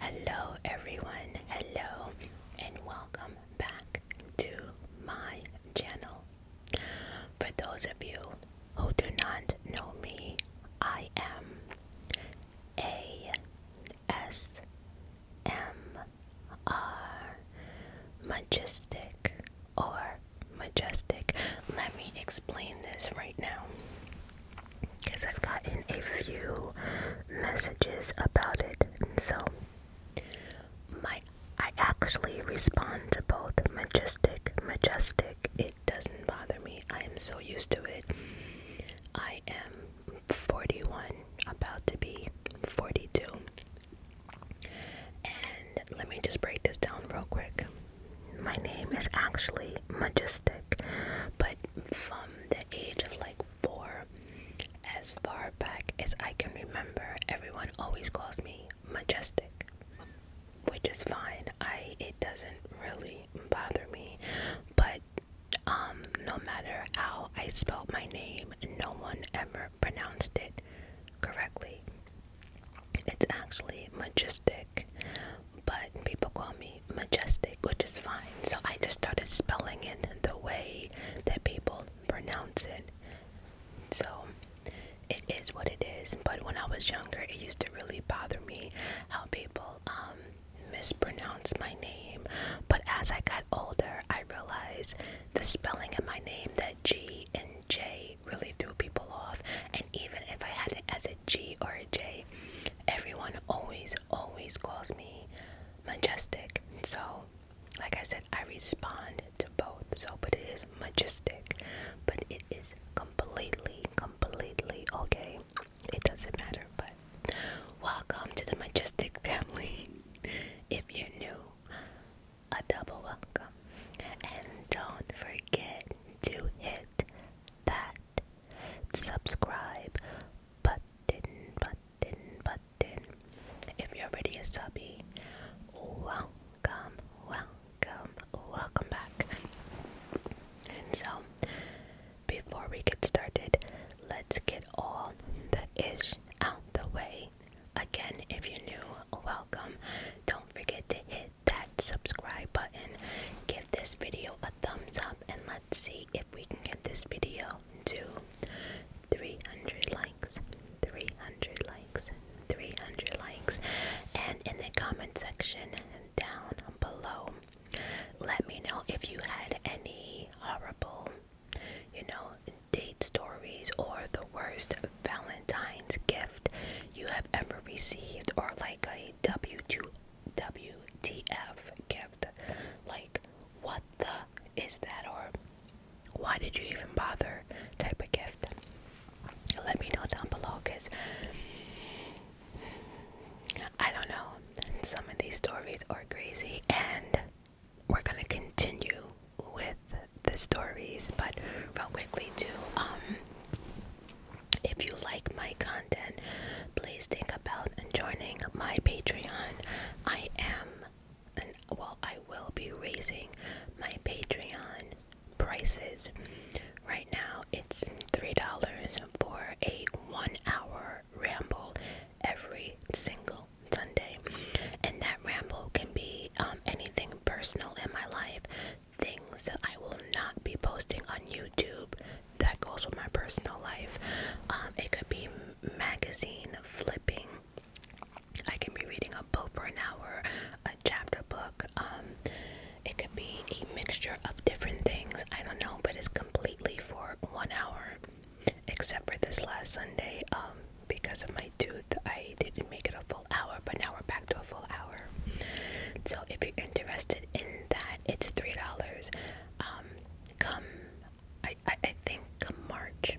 Hello, everyone. Hello, and welcome back to my channel. For those of you who do not know me, I am A S M R Majestic or Majestic. Let me explain this right now because I've gotten a few messages about it, so my I actually respond to both majestic, majestic. It doesn't bother me. I am so used to it. I am 41, about to be 42. And let me just break this down real quick my name is actually Majestic, but from the age of like four, as far back as I can remember, everyone always calls me Majestic, which is fine. I it doesn't really bother me, but um, no matter how I spelled my name, no one ever pronounced it correctly. It's actually majestic, but people call me majestic, which is fine. So I just started spelling it the way that people pronounce it. So it is what it is. But when I was younger, it used to really bother me how people um, mispronounce my name. But as I got older, I realized the spelling in my name, that G and J, really threw people off even if I had it as a G or a J, everyone always, always calls me majestic. So, like I said, I respond to both. So, but it is majestic, but it is completely, completely okay. It doesn't matter, but welcome to the majestic family. if you're new, a double welcome. And don't forget to hit that subscribe button, button, button. If you're already a subby, welcome, welcome, welcome back. And so, before we get started, let's get all the ish out the way. Again, if you're new, welcome. Don't forget to hit that subscribe button. Give this video a thumbs up and let's see if we can get this video to 300 likes. 300 likes. 300 likes. And in the comment section down below, let me know if you had any horrible, you know, date stories or the worst Valentine's gift you have ever received or like a W2 WTF gift. Like, what the is that? Or why did you even bother? Type of gift. Let me know down below because I don't know. Some of these stories are crazy, and we're gonna continue with the stories, but real quickly, to Um, if you like my content, please think about joining my Patreon. I am, and well, I will be raising my Patreon prices. Right now, it's $3 for a one hour ramble every single Sunday. And that ramble can be um, anything personal in my life things that I will not be posting on YouTube that goes with my personal life. Um, it could be magazine flipping. I can be reading a book for an hour, a chapter book. Um, it could be a mixture of different things. I don't know, but it's completely for one hour, except for this last Sunday. Um, because of my tooth, I didn't make it a full hour, but now we're back to a full hour. So if you're interested in that, it's three dollars um come I, I I think March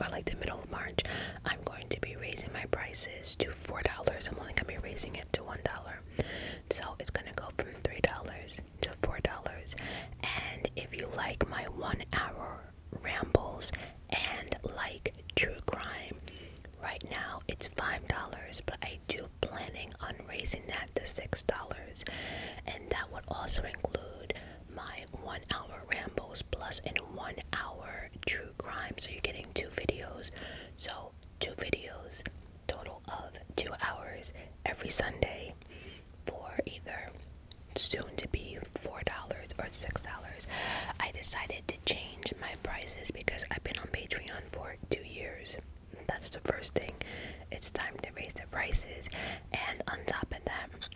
or like the middle of March I'm going to be raising my prices to four dollars I'm only gonna be raising it to one dollar so it's gonna go from three dollars to four dollars and if you like my one hour rambles and like true crime right now it's five dollars but I do planning on raising that to six dollars, and that would also include my one hour rambles plus in one hour true crime. So you're getting two videos. So two videos, total of two hours every Sunday for either soon to be four dollars or six dollars. I decided to change my prices because I've been on Patreon for two years. That's the first thing. It's time to raise the prices, and on top of that,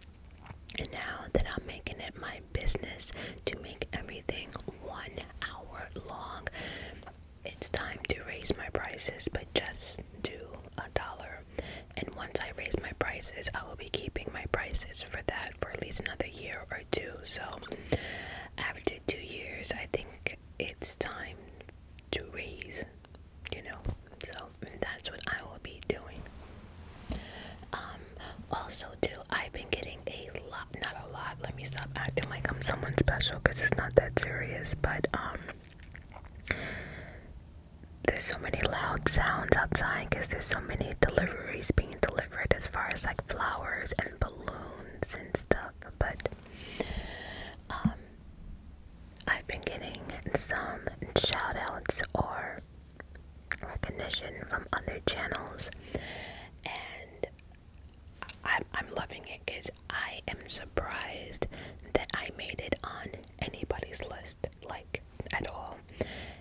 and now that I'm making it my business to make everything one hour long, it's time to raise my prices, but just do a dollar. And once I raise my prices, I will be keeping my prices for that for at least another year or two. So, after two years, I think it's time to raise, you know. So that's what I will be doing. Um, also, do I've been getting a lot, not a lot, let me stop acting like I'm someone special because it's not that serious, but um, there's so many loud sounds outside because there's so many deliveries being delivered as far as like flowers and balloons and stuff, but um, I've been getting some shout outs or recognition from other channels, and I'm, I'm loving it because I am surprised that I made it on anybody's list, like at all.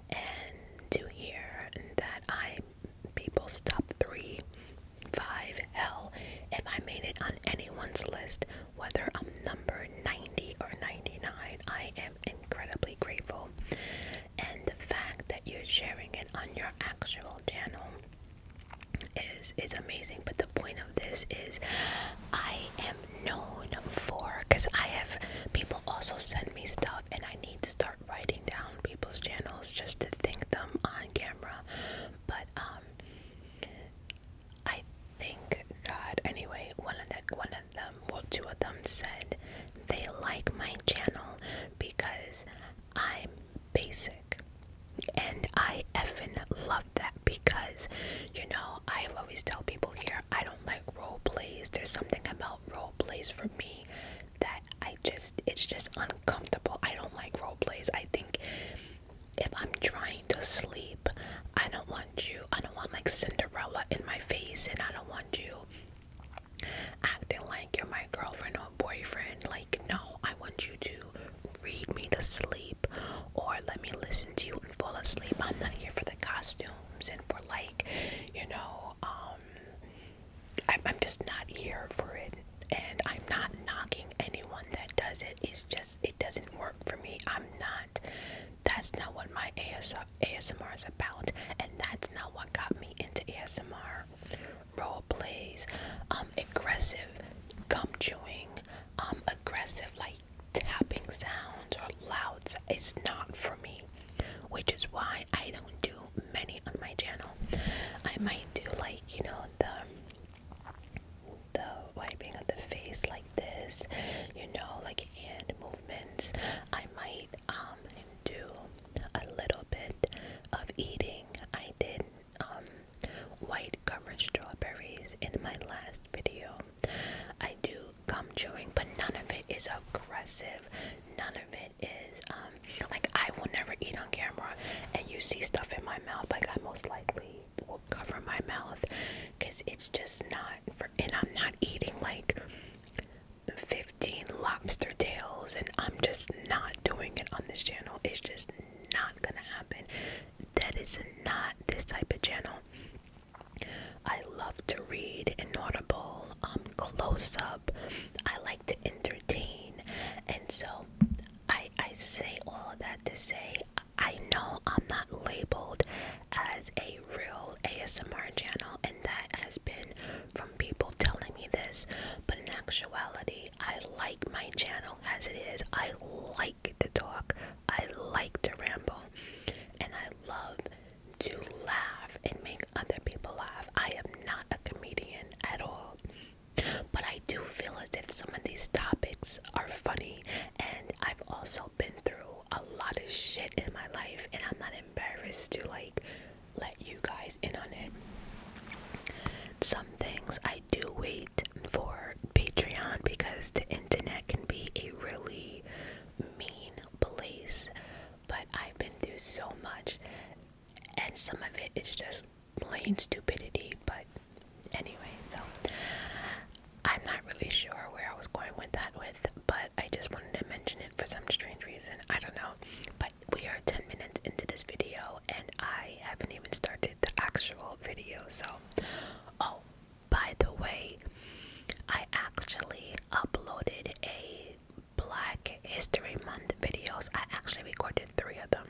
And to hear that I people's top three, five, hell, if I made it on anyone's list, whether I'm number 90 or 99, I am incredibly grateful. And the fact that you're sharing it on your actual channel is is amazing. But the point of this is I am known for because I have people also send me stuff and I need to start writing down people's channels just to thank them on camera but um I think God anyway, one of the one of them, well two of them said they like my channel because I'm basic. And I effing love that because you know i always tell people here I don't like role plays. There's something about role plays for me that I just it's just un i comfortable. I don't like role plays. I think if I'm trying to sleep, I don't want you. I don't want like Cinderella in my face, and I don't want you acting like you're my girlfriend or boyfriend. Like, no, I want you to read me to sleep or let me listen to you and fall asleep. I'm not here for the costumes and for like, you know, um, I'm, just not here for it, and I'm not knocking anyone that does it. It's just it doesn't work for me. I'm not. That's not what my ASR, ASMR is about, and that's not what got me into ASMR. Role plays, um, aggressive gum chewing, um, aggressive like tapping sounds or louds. It's not for me, which is why I don't do many on my channel. I might do like you know the the wiping of the face like this, you know, like hand movements. I might um do a little bit of eating. I did um white gummer strawberries in my last video. I do gum chewing, but none of it is aggressive. None of it is um like I will never eat on camera, and you see stuff in my mouth. Like I most likely will cover my mouth, cause it's just not. For, and I'm not eating like 15 lobster tails, and I'm just not doing it on this channel. It's just not gonna happen. That is not this type of channel. I love to read inaudible, um, close up. I like to entertain, and so I I say all that to say I know I'm not labeled as a real ASMR channel and that has been from people telling me this, but in actuality I like my channel as it is. I like to talk. I like to ramble. And I love to laugh and make other people laugh. I am not a comedian at all. But I do feel as if some of these topics are funny, and I've also been through a lot of shit in my life, and I'm not embarrassed to like let you guys in on it. Some things I do wait for Patreon because the internet can be a really mean place, but I've been through so much, and some of it is just plain stupidity, but anyway, so I'm not really sure where I was going with that with, but I just wanted to mention it for some strange reason. I don't know. But we are 10 minutes into this video and I haven't even started the actual video, so oh by the way, I actually uploaded a Black History Month videos. I actually recorded three of them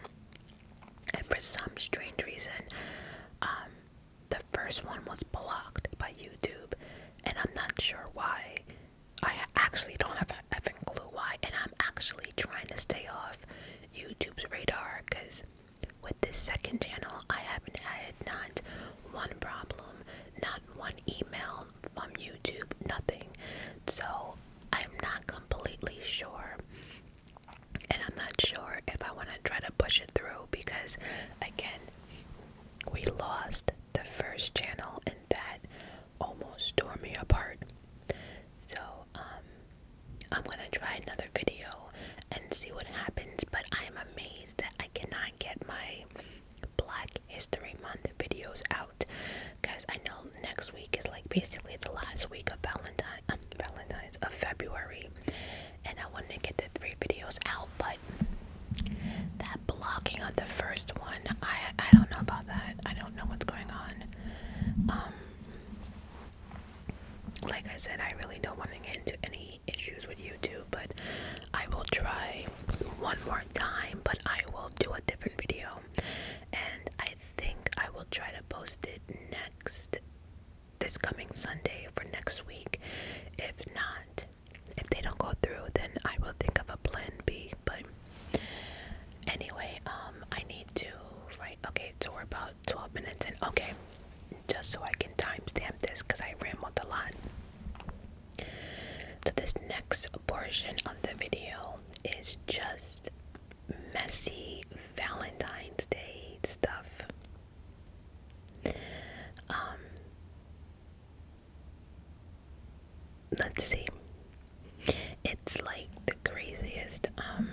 and for some strange reason, um, the first one was blocked by YouTube, and I'm not sure why. I actually don't have a effing clue why, and I'm actually trying to stay off YouTube's radar because with this second channel, I haven't had not one problem, not one email from YouTube, nothing. So I'm not completely sure. And I'm not sure if I want to try to push it through because, again, we lost the first channel and that almost tore me apart. So, um, I'm going to try another video and see what happens. But I am amazed that I cannot get my Black History Month videos out because I know um, next week is like basically the last week of Valentine, um, Valentine's of February, and I wanted to get the three videos out, but that blocking on the first one, I I don't know about that. I don't know what's going on. Um, like I said, I really don't want to get into any issues with YouTube, but I will try one more time. But I will do a different video, and I think I will try to post it next this coming Sunday for next week. If not, if they don't go through, then I will think of a plan B. But anyway, um, I need to write. Okay, so we're about 12 minutes in. Okay, just so I can timestamp this because I ramble a lot. So, this next portion of the video is just messy Valentine's Day stuff. Um, let's see. It's like the craziest. Um,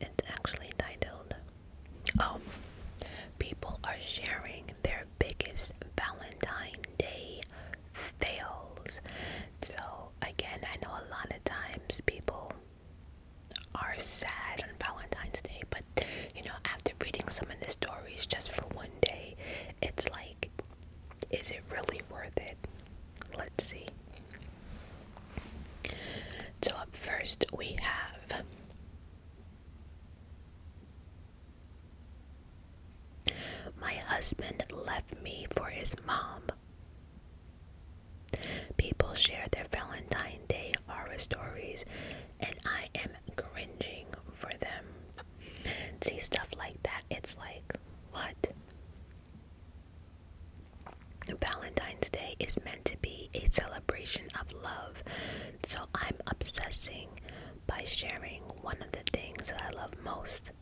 it's actually titled, Oh, people are sharing their biggest Valentine Day fails. So, again, I know a lot of times people are sad on Valentine's Day, but you know, after reading some of the stories just for one day, it's like, is it really worth it? Let's see. So, up first, we have my husband left me for his mom. People share their Valentine's Day horror stories, and I am cringing for them. See, stuff like that, it's like, what? Valentine's Day is meant to be a celebration of love, so I'm obsessing by sharing one of the things that I love most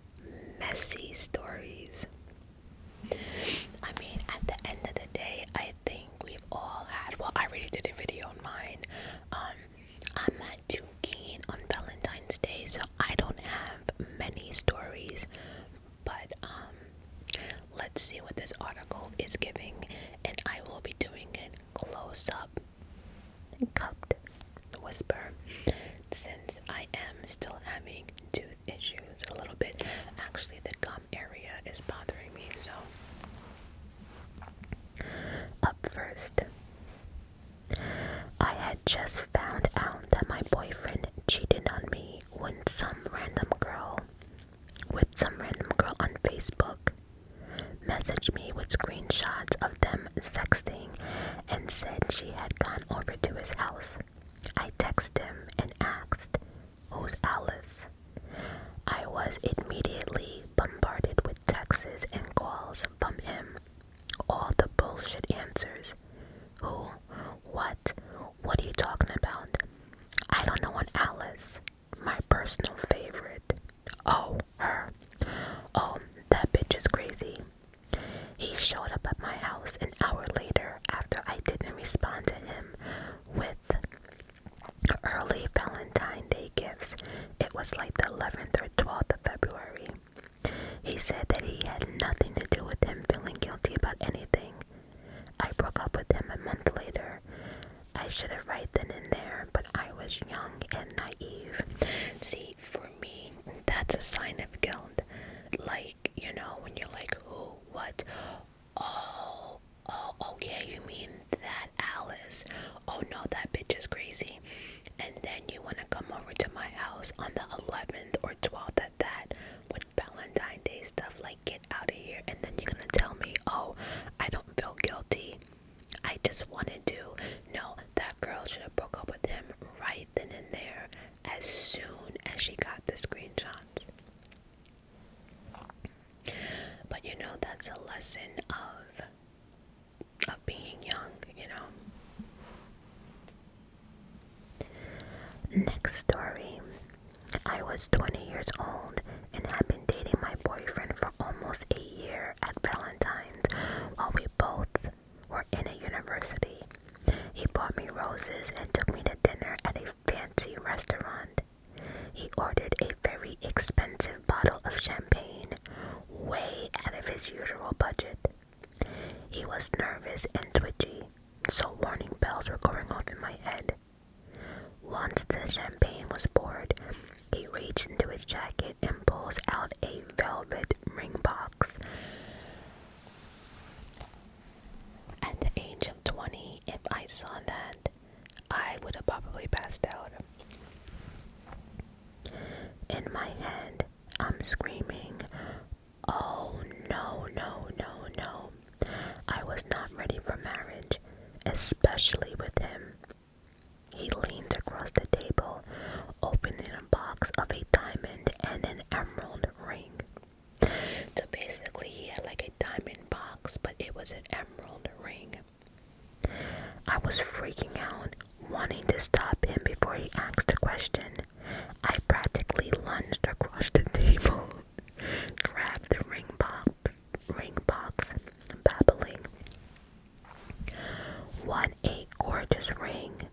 messy stories. I mean, at the end of the day, I think we've all had. Well, I really did a video on mine. Um, I'm not too keen on Valentine's Day, so I don't have many stories. But um, let's see what this article is giving, and I will be doing it close up cupped whisper since I am still having tooth issues a little bit. Actually, the gum area is bothering me, so up first. I had just found out that my boyfriend cheated on me when some random girl with some random girl on Facebook messaged me with screenshots of them sexting and said she had gone over to his house. I texted him and asked, Who's Alice? I was immediately bombarded with texts and calls from him. All the bullshit answers. Who? What? What are you talking about? I don't know what Alice. My personal favorite. Oh, her. Oh, that bitch is crazy. He showed up at my house an hour later after I didn't respond to him with early Valentine Day gifts. It was like the 11th or 12th of February. He said that he had nothing to do with him feeling guilty about anything. I broke up with him a month later. I should have right then and there, but I was young and naive. See, for me that's a sign of guilt like you know when you're like who what oh oh okay oh, you mean that alice oh no that bitch is crazy and then you want to come over to my house on the 11th or 12th at that with valentine day stuff like get out of here and then you're gonna tell me oh i don't feel guilty i just want to do no that girl should have broke up with him right then and there as soon as she got the screenshots. But you know that's a lesson of of being young, you know. Next story. I was 20 years old and had been dating my boyfriend for almost a year at Valentine's while we both or in a university. He bought me roses and took me to dinner at a fancy restaurant. He ordered a very expensive bottle of champagne, way out of his usual budget. He was nervous and twitchy, so warning bells were going off in my head. Once the champagne was poured, he reached into his jacket and pulls out a velvet ring box. At the age of 20, if I saw that, I would have probably passed out. In my hand, I'm screaming, Oh no, no, no, no. I was not ready for marriage, especially with him. He leaned across the table, opening a box of a diamond and an emerald ring. So basically, he had like a diamond box, but it was an emerald ring. I was freaking out, wanting to stop him before he asked the question. I practically lunged across the table, grabbed the ring box, ring box, babbling. What a gorgeous ring.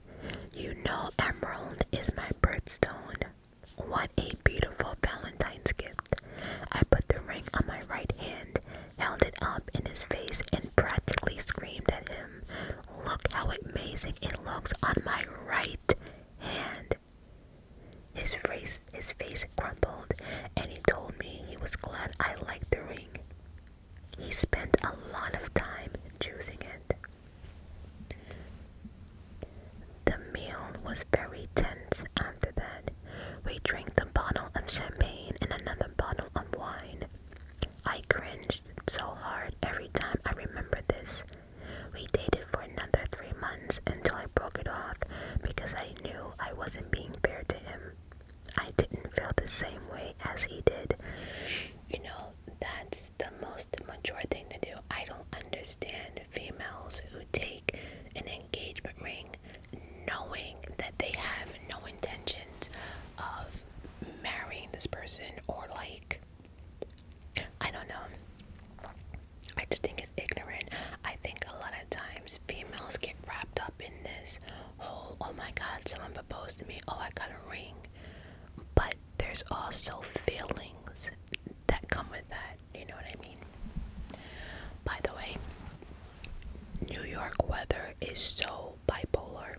You know, Emerald is my birthstone. What a beautiful Valentine's gift. I put the ring on my right hand, held it up in his face, and practically screamed at him. Look how amazing it looks on my right hand. His face, his face crumpled, and he told me he was glad I liked the ring. He spent a lot of time choosing it. The meal was very tense after that. We drank a bottle of champagne and another bottle of wine. I cringed so hard every time I remember this. We dated for another three months until I broke it off because I knew I wasn't being fair to him. I didn't feel the same way as he did you know, that's the most mature thing to do. I don't understand females who take an engagement ring knowing that they have no intentions of marrying this person or like I don't know. I just think it's ignorant. I think a lot of times females get wrapped up in this whole oh my god, someone proposed to me, oh I got a ring but there's also feelings that come with that. You know what I mean? By the way, New York weather is so bipolar.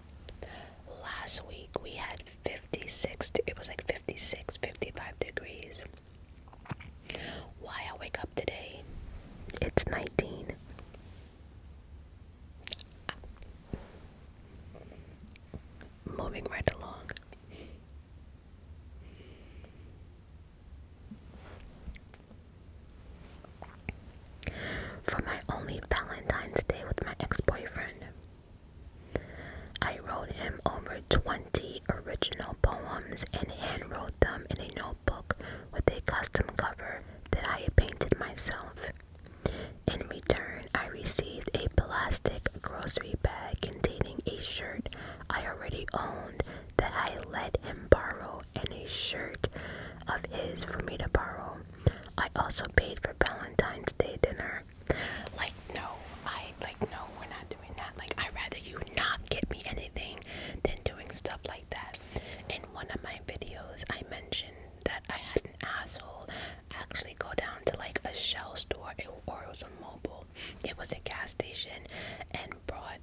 Last week we had 56, it was like 56, 55 degrees. Why I wake up today, it's 19. Moving right along. For my only Valentine's Day with my ex boyfriend, I wrote him over 20 original poems and handwrote them in a notebook with a custom cover that I painted myself. In return, I received a plastic grocery bag containing a shirt I already owned that I let him borrow and a shirt of his for me to borrow. I also paid for Valentine's Day dinner. Like, no, I like, no, we're not doing that. Like, i rather you not get me anything than doing stuff like that. In one of my videos, I mentioned that I had asshole actually go down to like a shell store or it was a mobile it was a gas station and brought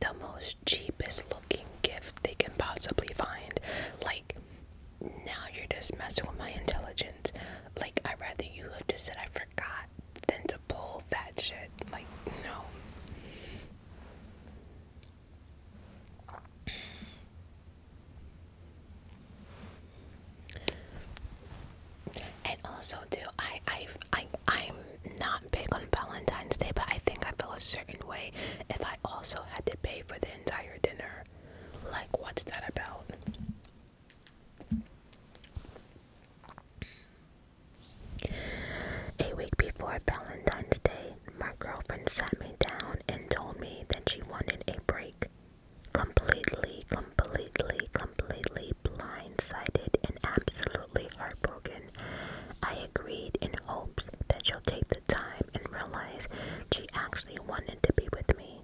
the most cheapest looking gift they can possibly find like now you're just messing with my intelligence like i'd rather you have just said i forgot than to pull that shit like no and also too, I I I I'm not big on Valentine's Day, but I think I feel a certain way if I also had to pay for the entire dinner. Like what's that about? A week before Valentine's Day, my girlfriend sat me down and told me that she wanted a break. Completely, completely, completely blindsided and absolutely heartbroken. I agreed in hopes that she'll take the time and realize she actually wanted to be with me.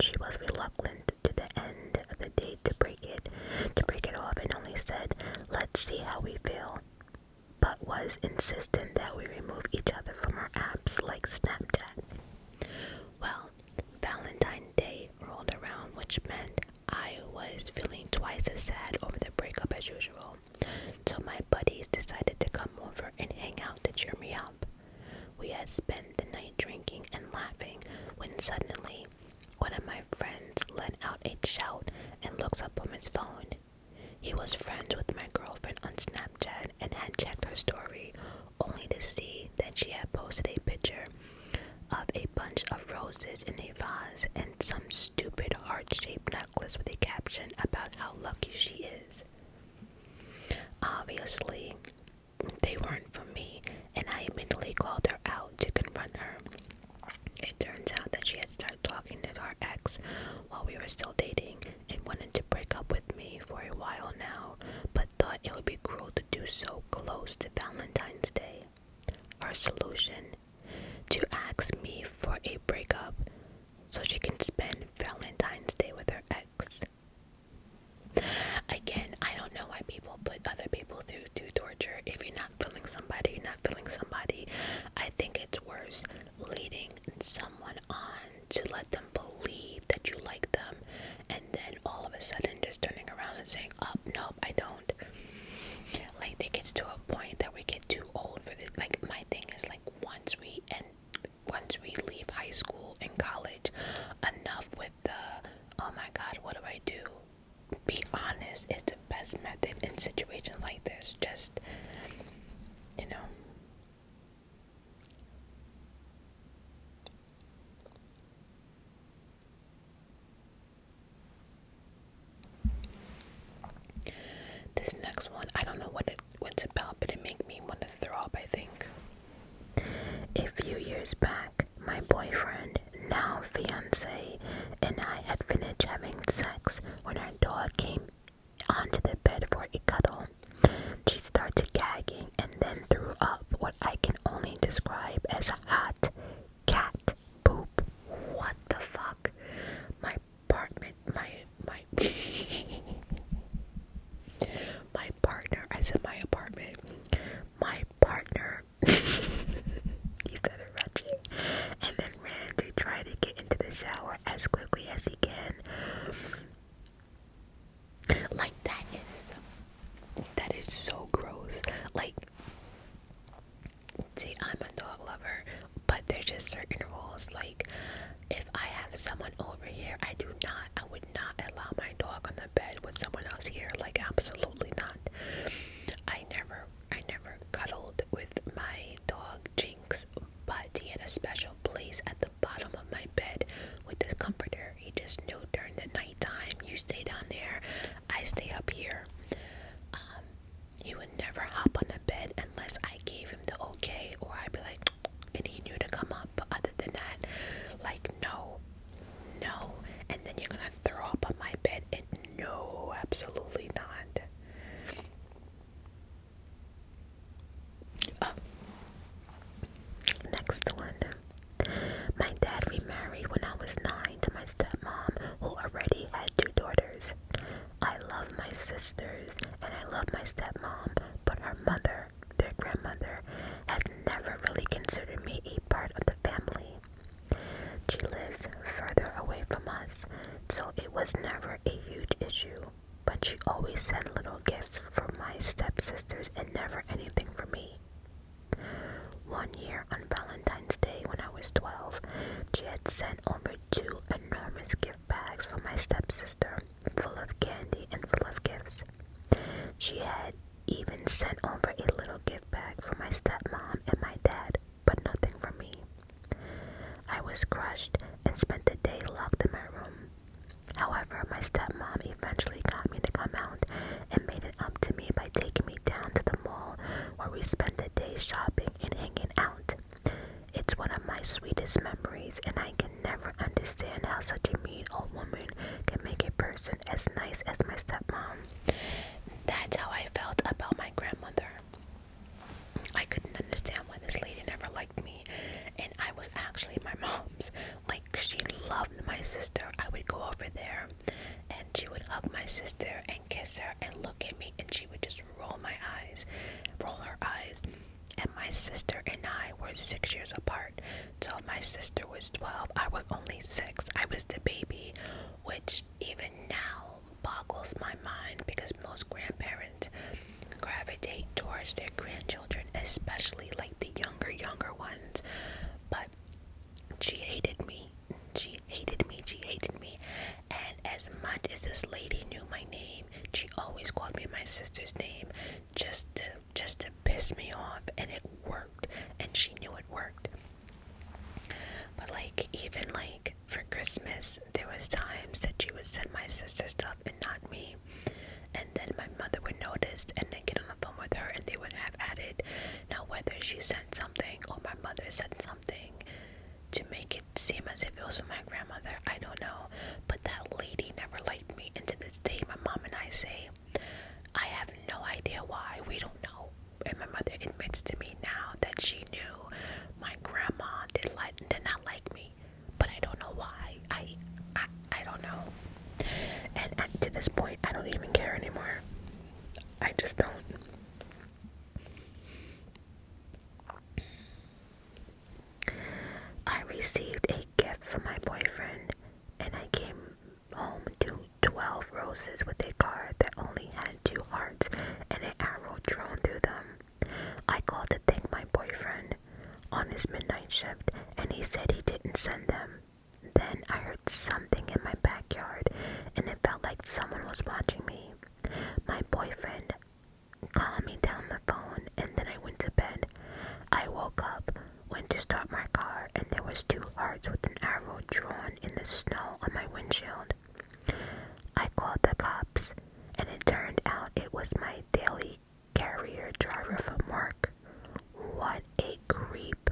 She was reluctant to the end of the date to break it, to break it off and only said, "Let's see how we feel." but was insistent that we remove each other from our apps like Snapchat. Well, Valentine's Day rolled around, which meant I was feeling twice as sad over the breakup as usual. So my buddies decided to come over and hang out to cheer me up. We had spent the night drinking and laughing when suddenly one of my friends let out a shout and looks up from his phone he was friends with my girlfriend on Snapchat and had checked her story only to see that she had posted a picture of a bunch of roses in a vase and some stupid heart shaped necklace with a caption about how lucky she is. Obviously, they weren't for me, and I immediately called her out to confront her. It turns out that she had started talking to our ex while we were still dating and wanted to break up with me for a while now, but thought it would be cruel to do so close to Valentine's Day. Our solution to ask me for a breakup so she can spend Valentine's Day with her ex. Again, I don't know why people put other people through, through torture. If you're not feeling somebody, you're not feeling somebody. I think it's worse leading someone on to let them believe that you like them and then all of a sudden just turning around and saying "Up, oh, nope i don't like it gets to a point that we get too old for this like my thing is like once we and once we leave high school and college enough with the oh my god what do i do be honest is the best method in situations like this just you know this next one, I don't know what it what's about, but it made me want to throw up, I think. A few years back, my boyfriend, now fiance, and I had finished having sex when our dog came onto the bed for a cuddle. She started gagging and then threw up what I can only describe as a hot cat poop. What the fuck? My apartment, my my my partner. I said my apartment. My partner. he started retching, and ran to try to get into the shower as quickly as he can. Like that is that is so gross. Like see, I'm a dog lover, but there's just certain rules. Like if I have someone over here, I do not I would not allow my dog on the bed with someone else here. Like absolutely not. I never I never cuddled with my dog Jake but he had a special place at the bottom of my bed with this comforter. He just knew during the nighttime, you stay down there, I stay up here. Um, he would never hop on the bed unless I gave him the okay, or I'd be like, and he knew to come up. other than that, like, no, no. And then you're gonna throw up on my bed, and no, absolutely not. Next one. My dad remarried when I was nine to my stepmom, who already had two daughters. I love my sisters and I love my stepmom, but her mother, their grandmother, has never really considered me a part of the family. She lives further away from us, so it was never a huge issue but she always sent little gifts for my stepsisters and never anything for me. One year on Valentine's Day when I was 12, she had sent over two enormous gift bags for my stepsister, full of candy and full of gifts. She had even sent over a little gift bag for my stepmom and my dad, but nothing for me. I was crushed and spent the day locked in my room. However, my stepmom eventually got me to come out and made it up to me by taking me down to the mall where we spent the day shopping and hanging out. It's one of my sweetest memories, and I can never understand how such a mean old woman can make a person as nice as my stepmom. That's how I felt about my grandmother. I couldn't understand why this lady never liked me, and I was actually my mom's. Like, she loved my sister. I would go over there, and she would hug my sister and kiss her and look at me, and she would just roll my eyes, roll her eyes. And my sister and I were six years apart. So, my sister was 12, I was only six. I was the baby, which even now boggles my mind because most grandparents gravitate towards their grandchildren, especially like the younger, younger ones. But she hated me. She hated me. She hated me. And as much as this lady knew my name, she always called me my sister's name just to just to piss me off and it worked and she knew it worked. But like even like for Christmas, there was times that she would send my sister stuff and not me. And then my mother would notice and then get on the phone with her and they would have added, Now whether she sent something or my mother sent something to make it seem as if it was my grandmother, I don't know. But that lady never liked me and to this day my mom and I say, I have no idea why, we don't know. And my mother admits to me now that she knew my grandma did, like, did not like me but I don't know why. I I, I don't know. And to this point, I don't even care anymore. I just don't. I received a gift from my boyfriend, and I came home to 12 roses with a card that only had two hearts and an arrow drawn through them. I called to thank my boyfriend on his midnight shift, and he said he didn't send them. Then I heard something in my backyard, and it felt like someone was watching me. My boyfriend called me down the phone, and then I went to bed. I woke up, went to start my car, and there was two hearts with an arrow drawn in the snow on my windshield. I called the cops, and it turned out it was my daily carrier driver for Mark. What a creep.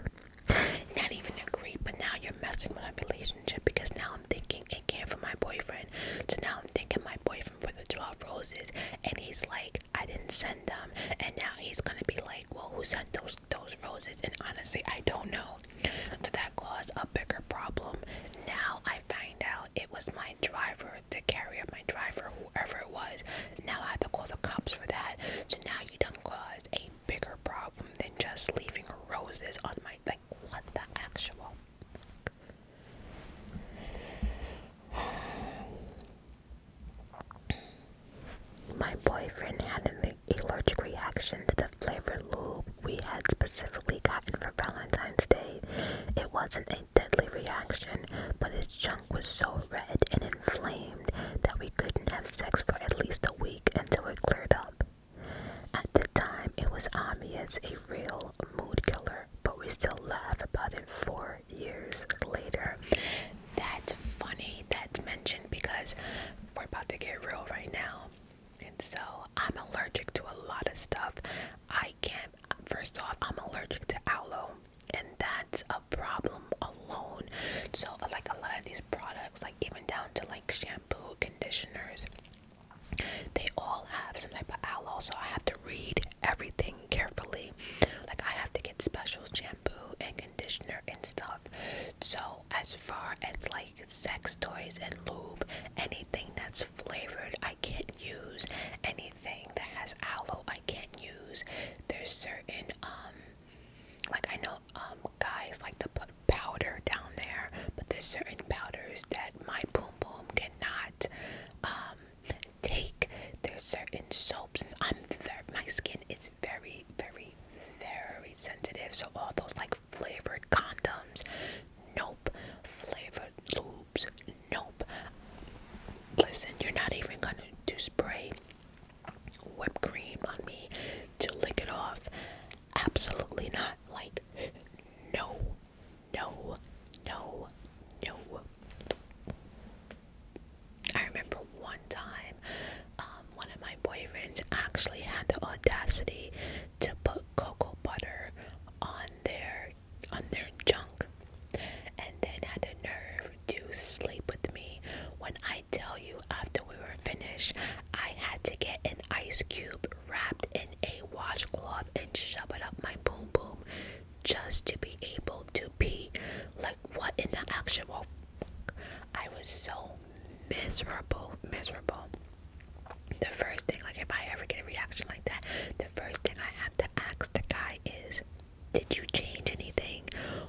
Not even a creep, but now you're messing with my relationship because now I'm thinking it came from my boyfriend. So now I'm thinking my boyfriend for the 12 roses, and he's like, I didn't send them. And now he's gonna be like, Well, who sent those those roses? And honestly, I don't know. So that caused a bigger problem. Now I find out it was my driver, the carrier, my driver, whoever it was. Now I have to call the cops for that. So now you don't cause a bigger problem than just leaving roses on my like what the actual my boyfriend had an allergic reaction to the flavored lube we had specifically gotten for Valentine's Day. It wasn't a deadly reaction, but his junk was so red and inflamed that we couldn't have sex for at least a week until it cleared up. At the time, it was obvious a real mood killer, but we still laugh about it four years later. That's funny that's mentioned because we're about to get real right now. And so I'm allergic to a lot of stuff. I can't. First off, I'm allergic to aloe, and that's a problem alone. So, like a lot of these products, like even down to like shampoo, conditioners, they all have some type of aloe. So I have to read everything carefully. Like I have to get special shampoo and conditioner and stuff. So as far as like sex toys and lube, anything that's flavored, I can't use anything that has aloe. I can't use. There's certain um, like I know um guys like to put powder down there, but there's certain powders that my boom boom cannot um take. There's certain soaps. And I'm very, my skin is very very very sensitive, so all those like flavored condoms. Nope, flavored Nope. Listen, you're not even going to do spray whipped cream on me to lick it off. Absolutely not. Like, no. No. No. No. I remember one time um, one of my boyfriends actually had the audacity to put cocoa butter on their on their junk and then had the nerve to sleep with me when I tell you after we were finished I had to get an ice cube wrapped in a washcloth and shove it up my boom boom just to be able to pee like what in the actual I was so miserable miserable the first thing like if I ever get a reaction like that the first thing I have to ask the guy is, did you change anything?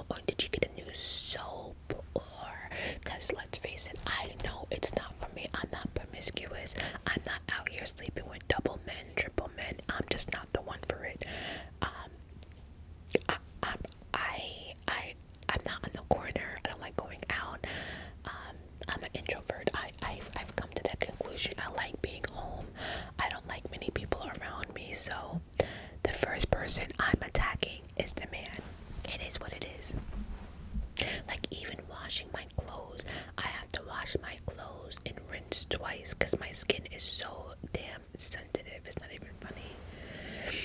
Or did you get a new soap? Or, because let's face it, I know it's not for me. I'm not promiscuous. I'm not out here sleeping with double men, triple men. I'm just not the one for it. Um, I, am I, I, I'm not on the corner. I don't like going out. Um, I'm an introvert. I, I've, I've come to that conclusion. I like being home. I don't like many people around me. So the first person I'm attacking is the man. It is what it is. Like even washing my clothes, I have to wash my clothes and rinse twice because my skin is so damn sensitive. It's not even funny.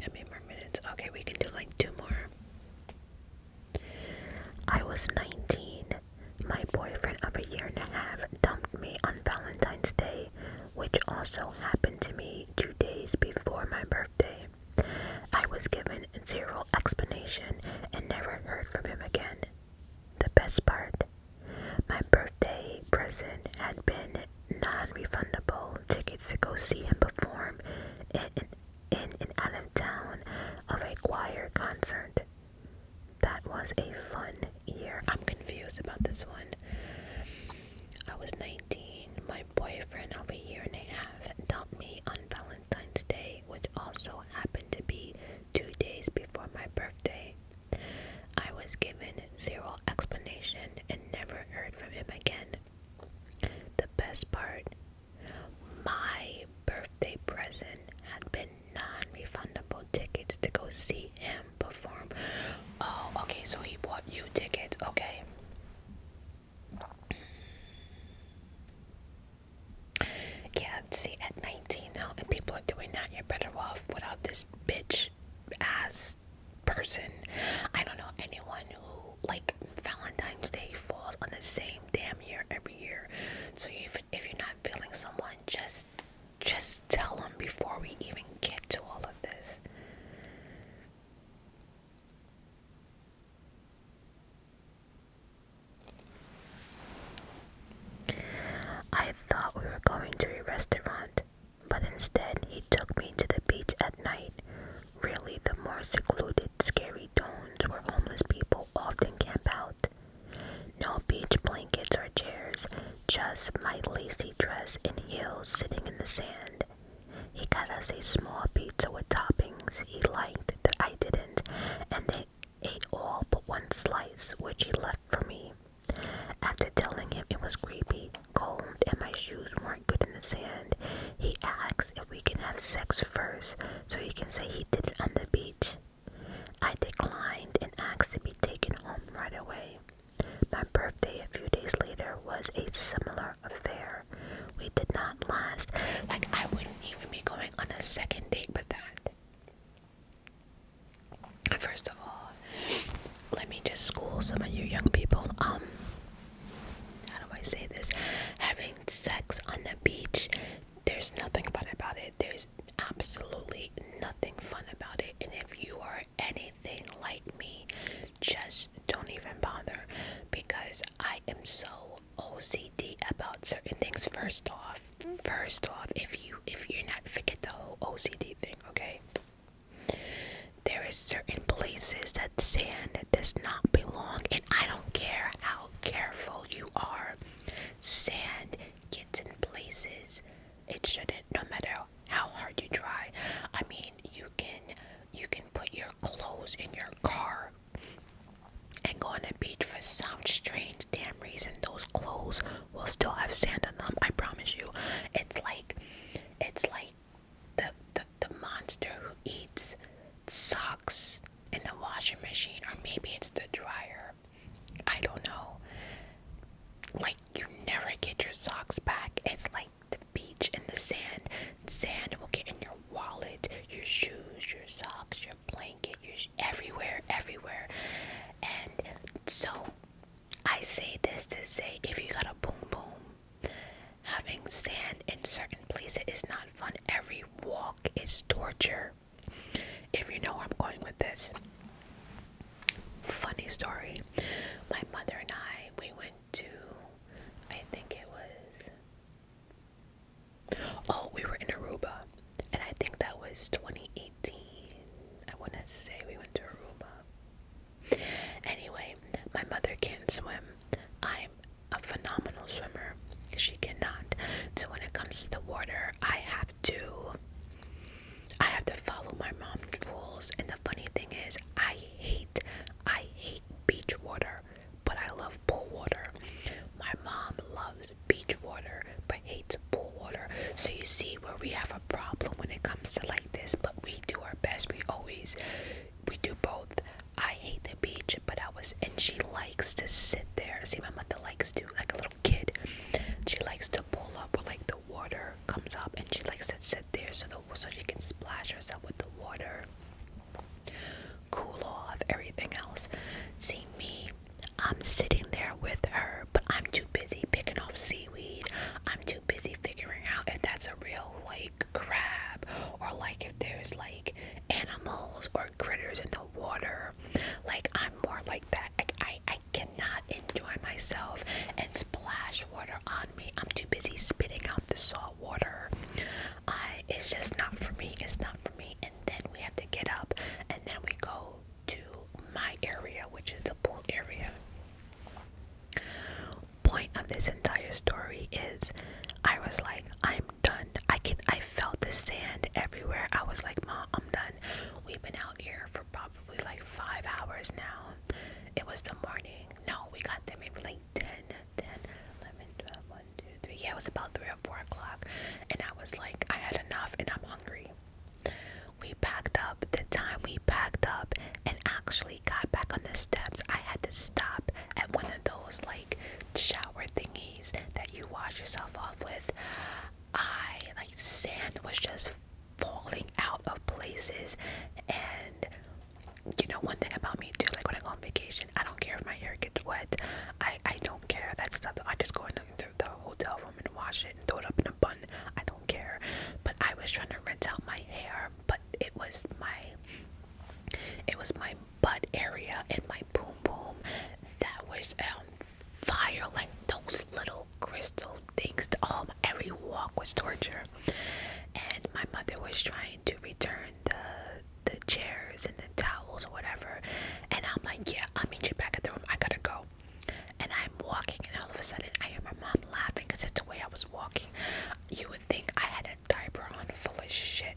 How many more minutes? Okay, we can do like two more. I was 19. My boyfriend of a year and a half dumped me on Valentine's Day, which also happened to me two days before my birthday. I was given zero explanation and never heard from him again. The best part my birthday present had been non refundable tickets to go see him perform in an Allentown of a choir concert. That was a fun year. I'm confused about this one. I was 19. My boyfriend of a year and a half dumped me on Valentine's Day, which also happened to be two days before my birthday. I was given zero explanation and never heard from him again. The best part my birthday present had been non refundable tickets to go see him perform. Oh, okay, so he bought you tickets, okay. Yeah, see, at 19 now, and people are doing that, you're better off without this bitch ass person. I don't know anyone who like Valentine's Day falls on the same damn year every year. So if if you're not feeling someone, just just tell them before we even get to all of this. I thought we were going to a restaurant, but instead he took me to the beach at night Really, the more secluded, scary tones where homeless people often camp out. No beach blankets or chairs, just my lacy dress and heels sitting in the sand. He cut us a small pizza with toppings he liked that I didn't, and they ate all but one slice, which he left for me. After telling him it was creepy, cold, and my shoes weren't good in the sand, he asked if we can have sex first so he can say he did it on the beach. I declined and asked to be taken home right away. My birthday a few days later was a similar affair. We did not last. Like, I wouldn't even be going on a second date with that. First of all, let me just school some of you young people. Um, how do I say this? Having sex on the beach, there's nothing fun about it. There's absolutely nothing fun about it. And if you are anything like me, just don't even bother because I am so OCD about certain things. First off, first off, if you if you're not forget the whole OCD thing, okay? There is certain places that sand does not belong I don't care how careful you are, sand gets in places it shouldn't, no matter how hard you try. I mean, you can you can put your clothes in your car and go on a beach for some strange damn reason. Those clothes will still have sand on them. I promise you. It's like it's like the, the the monster who eats socks in the washing machine, or maybe it's the dryer. I don't know. Like you never get your socks back. It's like the beach and the sand. Sand will get in your wallet, your shoes, your socks, your blanket, your sh everywhere, everywhere. And so I say this to say if you got a boom boom Having sand in certain places is not fun. Every walk is torture. If you know where I'm going with this. Funny story. My mother and I, we went to, I think it was, oh, we were in Aruba. And I think that was 2018. I want to say we went to Aruba. Anyway, my mother can't swim. I'm a phenomenal swimmer. She cannot. So when it comes to the water, I have to I have to follow my mom's rules. And the funny thing is I hate I hate beach water, but I love pool water. My mom loves beach water but hates pool water. So you see where we have a problem when it comes to like this, but we do our best. We always we do both. I hate the beach, but I was, and she likes to sit there. See, my mother likes to, like a little kid, she likes to pull up when like the water comes up, and she likes to sit there so the so she can splash herself with the water, cool off everything else. See me, I'm sitting there with her, but I'm too busy picking off seaweed. I'm too busy figuring out if that's a real like crab or like if there's like animals or critters in the water like i'm more like that like i i cannot enjoy myself and splash water on me i'm too busy spitting out the salt water i it's just not for me it's not for me and then we have to get up and then we go to my area which is the pool area point of this entire story is I was like, I'm done. I can I felt the sand everywhere. I was like, Mom, I'm done. We've been out here for probably like five hours now. It was the morning. No, we got there maybe like 10, 10, 11, 12, 1, 2, 3. Yeah, it was about 3 or 4 o'clock. And I was like, I had enough and I'm hungry. We packed up the time we packed up and actually got back on the steps, I had to stop at one of those like shower thingies that you wash yourself off with. I like sand was just falling out of places, and you know one thing about me too, like when I go on vacation, I don't care if my hair gets wet. I I don't care that stuff. I just go into the hotel room and wash it and throw it up in a bun. I don't care. But I was trying to rinse out my hair, but it was my it was my butt area and my boom boom that was on um, fire like those little crystal things. Um, every walk was torture, and my mother was trying to return the the chairs and the towels or whatever. And I'm like, yeah, I'll meet you back at the room. I gotta go. And I'm walking, and all of a sudden, I hear my mom laughing because it's the way I was walking. You would think I had diaper on full of shit.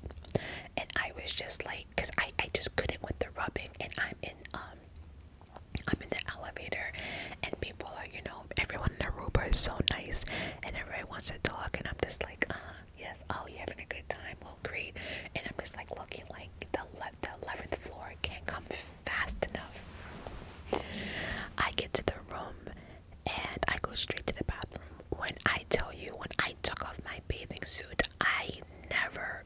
And I was just like, cause I, I just couldn't with the rubbing and I'm in um I'm in the elevator and people are, you know, everyone in the room is so nice and everybody wants to talk and I'm just like, uh, yes, oh you having a good time, well great and I'm just like looking like the le- the eleventh floor can't come fast enough. I get to the room and I go straight to the bathroom. When I tell you, when I took off my bathing suit, I never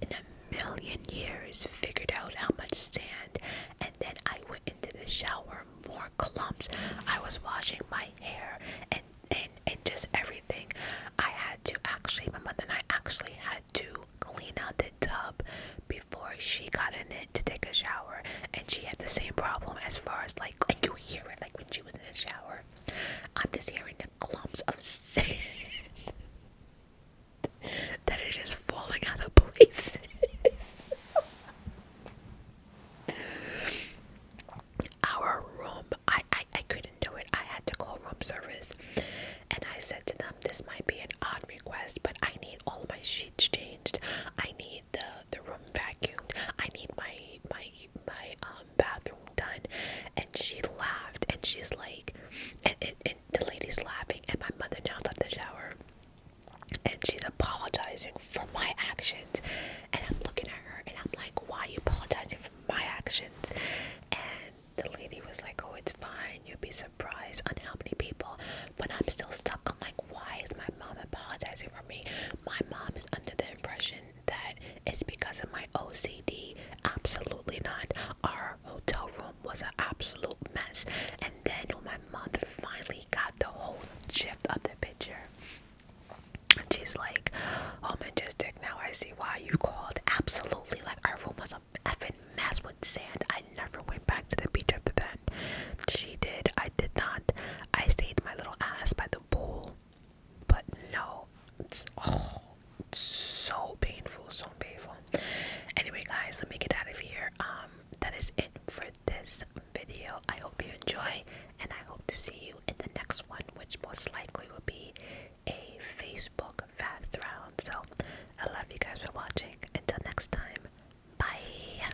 in a million years figured out how much sand, and then I went into the shower, more clumps. I was washing my hair and and, and just everything. I had to actually, my mother and I actually had to clean out the tub before she got in it to take a shower, and she had the same problem as far as like, like you hear it, like when she was in the shower. I'm just hearing the clumps of sand that is just falling out of places. Our room, I, I I couldn't do it. I had to call room service, and I said to them, "This might be an odd request, but I need all my sheets changed. I need." the the room vacuumed. I need my my my um bathroom done." And she laughed, and she's like, and, and, the lady's laughing, and my mother now's at the shower, and she's apologizing for my actions, and I'm looking at her, and I'm like, "Why are you apologizing for my actions?" And the lady was like, "Oh, it's fine. You'd be surprised on how many people." But I'm still stuck. on like, why is my mom apologizing for me? My mom is under the impression that it's because of my OCD. Absolutely not. Our hotel room was an absolute mess. And then when my mother finally got the whole shift of the picture, she's like, "Oh, majestic! Now I see why you called." Absolutely, like our room was a effing mess with sand. I never went back to the beach after that. She did. I did not. I stayed my little ass by the pool but no, it's oh, so painful, so painful. Anyway, guys, let me get out of here. Um, that is it for this video. I hope you enjoy, and I hope to see you in the next one, which most likely will be a Facebook fast round. So, I love you guys for watching. Until next time, bye.